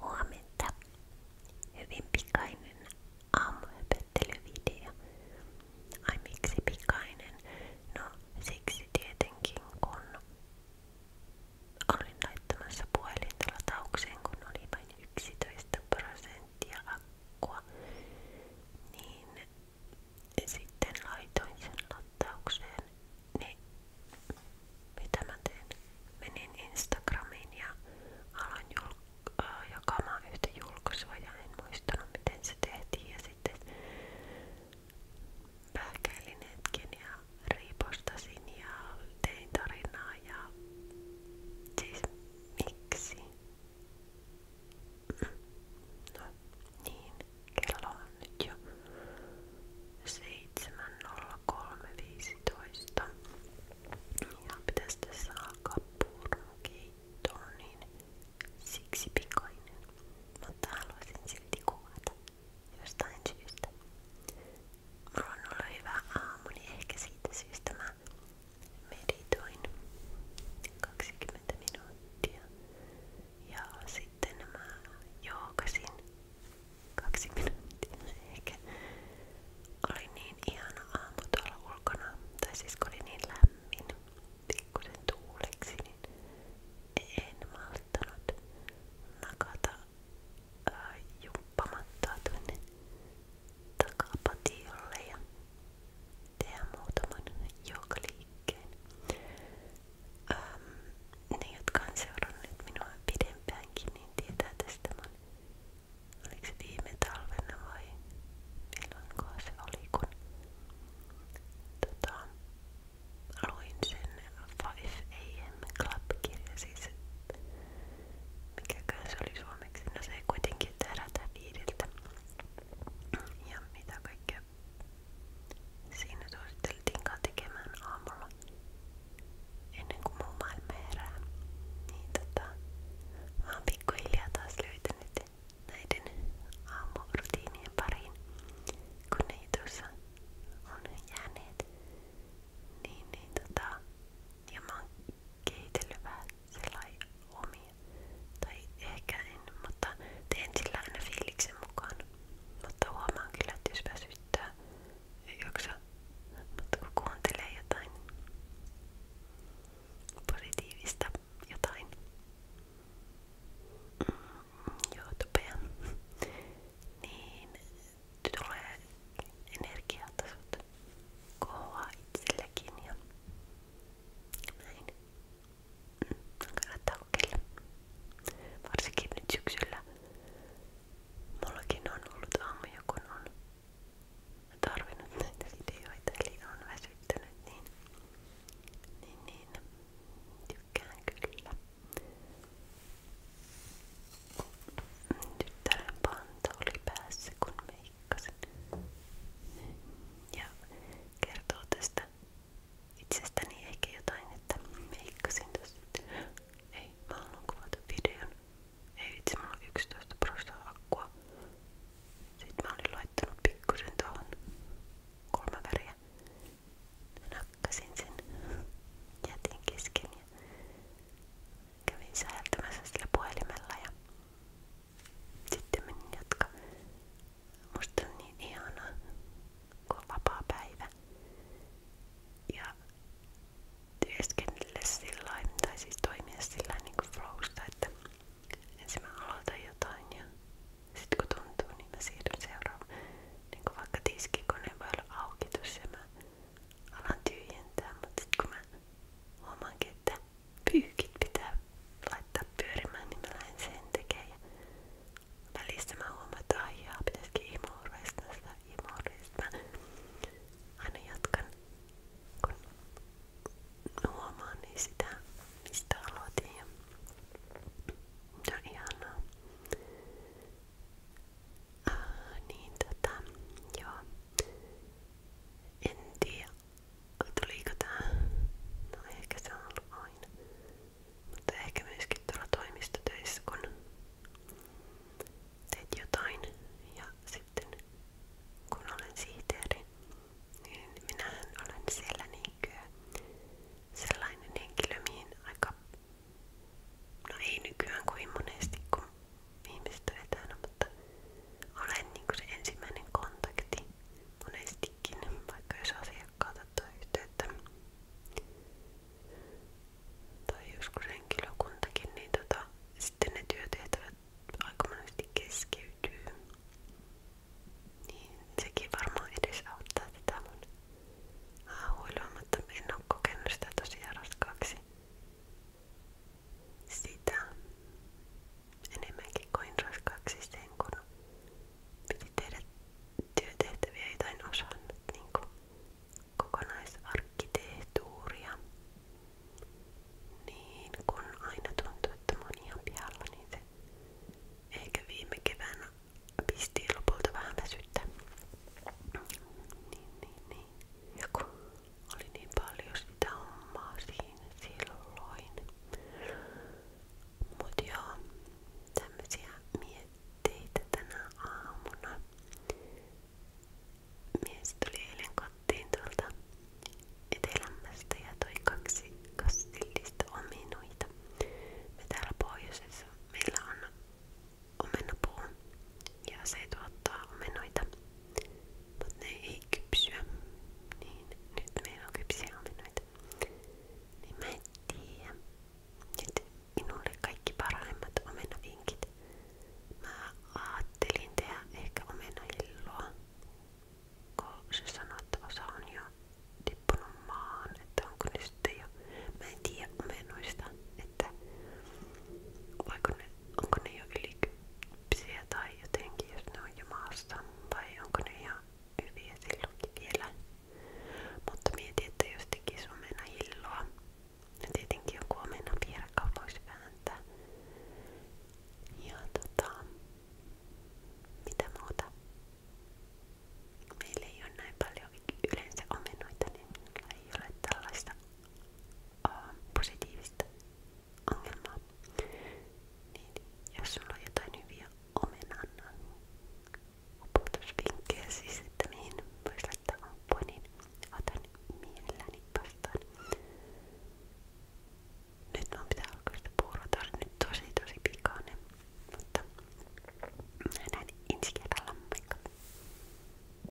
Huomenta. Hyvin pikainen aamuhypettelyvideo. Ai miksi pikainen? No siksi tietenkin kun olin laittamassa puhelinta lataukseen, kun oli vain 11 prosenttia akkua, niin sitten laitoin sen lataukseen niin mitä mä teen? Menin Instagramiin ja aloin julk- äh, jakamaan yhtä julkaisua ja en muistanut miten se tehtiin ja sitten pähkäilin hetken ja riipostasin ja tein tarinaa ja siis miksi? No niin, kello on nyt jo 7.00 olla 3.15. Ja pitäisi tässä alkaa purmukeittoon, niin siksi pikainen. Mutta haluaisin silti kuvata jostain syystä. Mulla on ollut hyvä aamu, niin ehkä siitä syystä mä meditoin 20 minuuttia. Ja sitten mä joogasin kaksi minuuttia ehkä. Oli niin ihana aamu tuolla ulkona, tai siis kun oli niin lämmin, pikkusen tuuleksi, niin en malttanut nakata ää, jumppamatta tuonne takapatiolle ja tehdä muutaman joogaliikkeen. Ähm, ne, jotka on seurannut minua pidempäänkin, niin tietää tästä mun, oliko se viime talvena vai milloin se oli, kun tota, luin sen 5am Club-kirja, siis mikäkään se oli suomeksi, no se kuitenkin, että herätä viideltä ja mitä kaikkea Siinä suositeltiinkaan tekemään aamulla ennen kuin muu maailma herää. Niin tota, mä oon pikkuhiljaa taas löytänyt näiden aamurutiinien pariin, kun ne tuossa on jääneet. Niin, niin tota, ja mä oon kehitellyt vähän omia, tai ehkä en, mutta teen sillä aina fiiliksen mukaan. Mutta huomaan kyllä, että jos väsyttää, ei jaksa. Mutta kun kuuntelee jotain positiivista jotain mm, YouTubea, niin tulee energiatasot kohoaa itsellekin ja näin. Kannattaa kokeilla. Varsinkin nyt syksyllä. Mullakin on ollut aamuja, kun on tarvinnut näitä videoita, eli on väsyttänyt, niin, niin, niin tykkään kyllä. Tyttären panta oli päässä, kun meikkasin. Ja kertoo tästä itsestäni ehkä jotain, että meikkasin tossa. Ei, mä haluan kuvata videon. Ei itse, mulla on 11 prosenttia akkua. Sitten mä olin laittanut pikkusen tuohon kolme väriä. Nakkasin sen, jätin kesken ja kävin säältämässä sillä puhelimella ja sitten menin jatka. Musta on niin ihana, kun on vapaa päivä. Ja työskennellä sillä tai siis toimia sillä niin kuin flowsta, että ensin mä aloitan jotain ja sitten kun tuntuu, niin mä siirryn seuraavaan. Niin kuin vaikka tiskikone voi olla auki tuossa ja mä alan tyhjentää, mutta sitten kun mä huomaankin, että pyykit pitää laittaa pyörimään, niin mä lähden sen tekemään. Välissä mä huomaan, että aijaa, pitäisikin imuureista sitä imuureista. Aina jatkan, kun huomaan niin sitä, mistä aloitin. Ja se on ihanaa. Äh, niin tota, joo. En tiedä, tuliko tää? No ehkä se on ollut aina. Mutta ehkä myöskin tuolla toimistotöissä, kun teet jotain ja sitten kun olen sihteeri, niin minähän olen siellä niinkö sellainen henkilö, mihin aika, no ei nykyään kovin monesti, kun ihmiset on etänä, mutta olen niinku se ensimmäinen kontakti monestikin, vaikka jos asiakkaat ottaa yhteyttä tai joskus henkilökuntakin, niin tota, sitten ne työtehtävät aika monesti keskeytyy. Niin sekin varmaan edesauttaa tätä mun haahuilua, mutta en oo kokenut sitä tosiaan raskaaksi sitä enemmänkin koin raskaaksi sen, niin kun piti tehdä työtehtäviä, joita en osannut, niin kuin kokonaisarkkitehtuuria. Niin kun aina tuntuu, että mä oon ihan pihalla, niin se ehkä viime keväänä pisti lopulta vähän väsyttä. Niin, niin, niin. Ja kun oli niin paljon sitä hommaa siinä silloin. Mut joo, tämmösiä mietteitä tänä aamuna. Mies tuli eilen kotiin tuolta etelämästä ja toi kaksi kastillista omenoita. Me täällä pohjoisessa meillä on omenapuu ja se tuottaa omenoita. Mutta ei kypsyä. Niin nyt meillä on kypsiä Niin mä en tiedä. minulle kaikki parhaimmat omenavinkit. Mä ajattelin tehdä ehkä omenahilloa. Kun se sanoi, että osa Että onko ne sitten jo... Mä en tiedä omenoista onko ne jo ylikyppisiä tai jotenkin, jos ne on jo maassa, vai onko ne ihan hyviä silloinkin vielä. Mutta mietin, että jos tekisi omena hilloa, ja tietenkin joku omena pierkka voisi vääntää. Ja tota, mitä muuta? Meillä ei ole näin paljon yleensä omenoita, niin ei ole tällaista Äh, positiivista ongelmaa, niin jos sulla on jotain hyviä omenan niin opetusvinkkejä siis, että mihin voisi laittaa ampua, niin otan mielelläni vastaan. Nyt mun pitää alkaa sitä puuroa, tää oli nyt tosi tosi pikainen, mutta nähdään ensi kerralla, moikka!